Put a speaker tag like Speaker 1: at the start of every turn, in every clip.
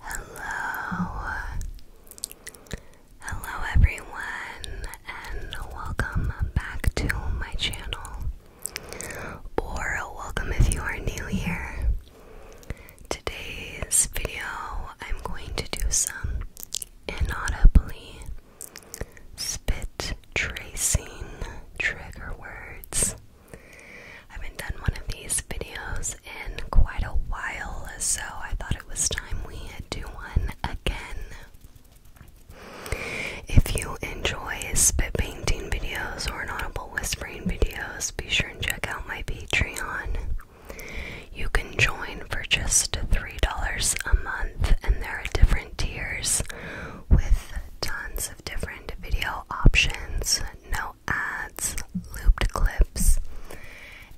Speaker 1: Hello, uh, hello everyone, and welcome back to my channel. Or welcome if you are new here. Today's video, I'm going to do some inaudibly spit tracing trigger words. I haven't done one of these videos in quite a while, so I thought it was time we do one again. If you enjoy spit painting videos or an audible whispering videos, be sure and check out my Patreon. You can join for just $3 a month, and there are different tiers with tons of different video options, no ads, looped clips,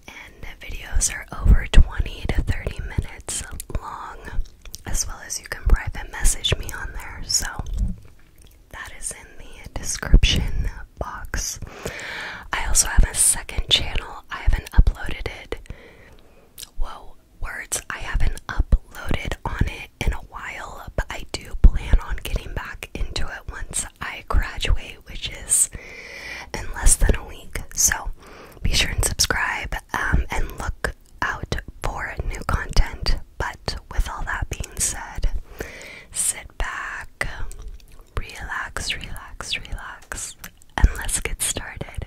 Speaker 1: and videos are over 20 to 30 minutes long, as well as you can private message me on there. So that is in the description box. I also have a second channel. I haven't uploaded it. Whoa, words I haven't uploaded on it in a while, but I do plan on getting back into it once I graduate, which is in less than a week. So be sure and subscribe um, and look out for new content. But with all that being said, sit back, relax, relax, relax, and let's get started.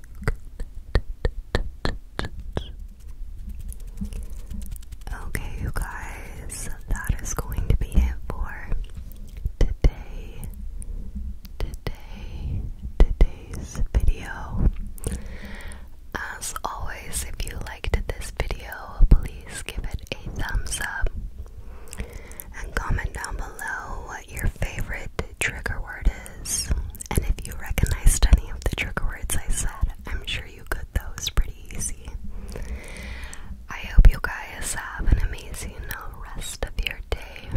Speaker 1: Okay, you guys, that is going to be it for today. Today, today's video. As always, if you liked this video, please give it a thumbs up and comment down below what your favorite trigger word is. And if you recognized any of the trigger words I said, I'm sure you got those pretty easy. I hope you guys have an amazing rest of your day,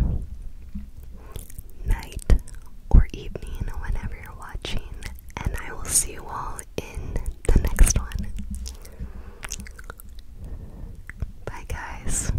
Speaker 1: night, or evening, whenever you're watching. And I will see you all in the next one. Bye, guys.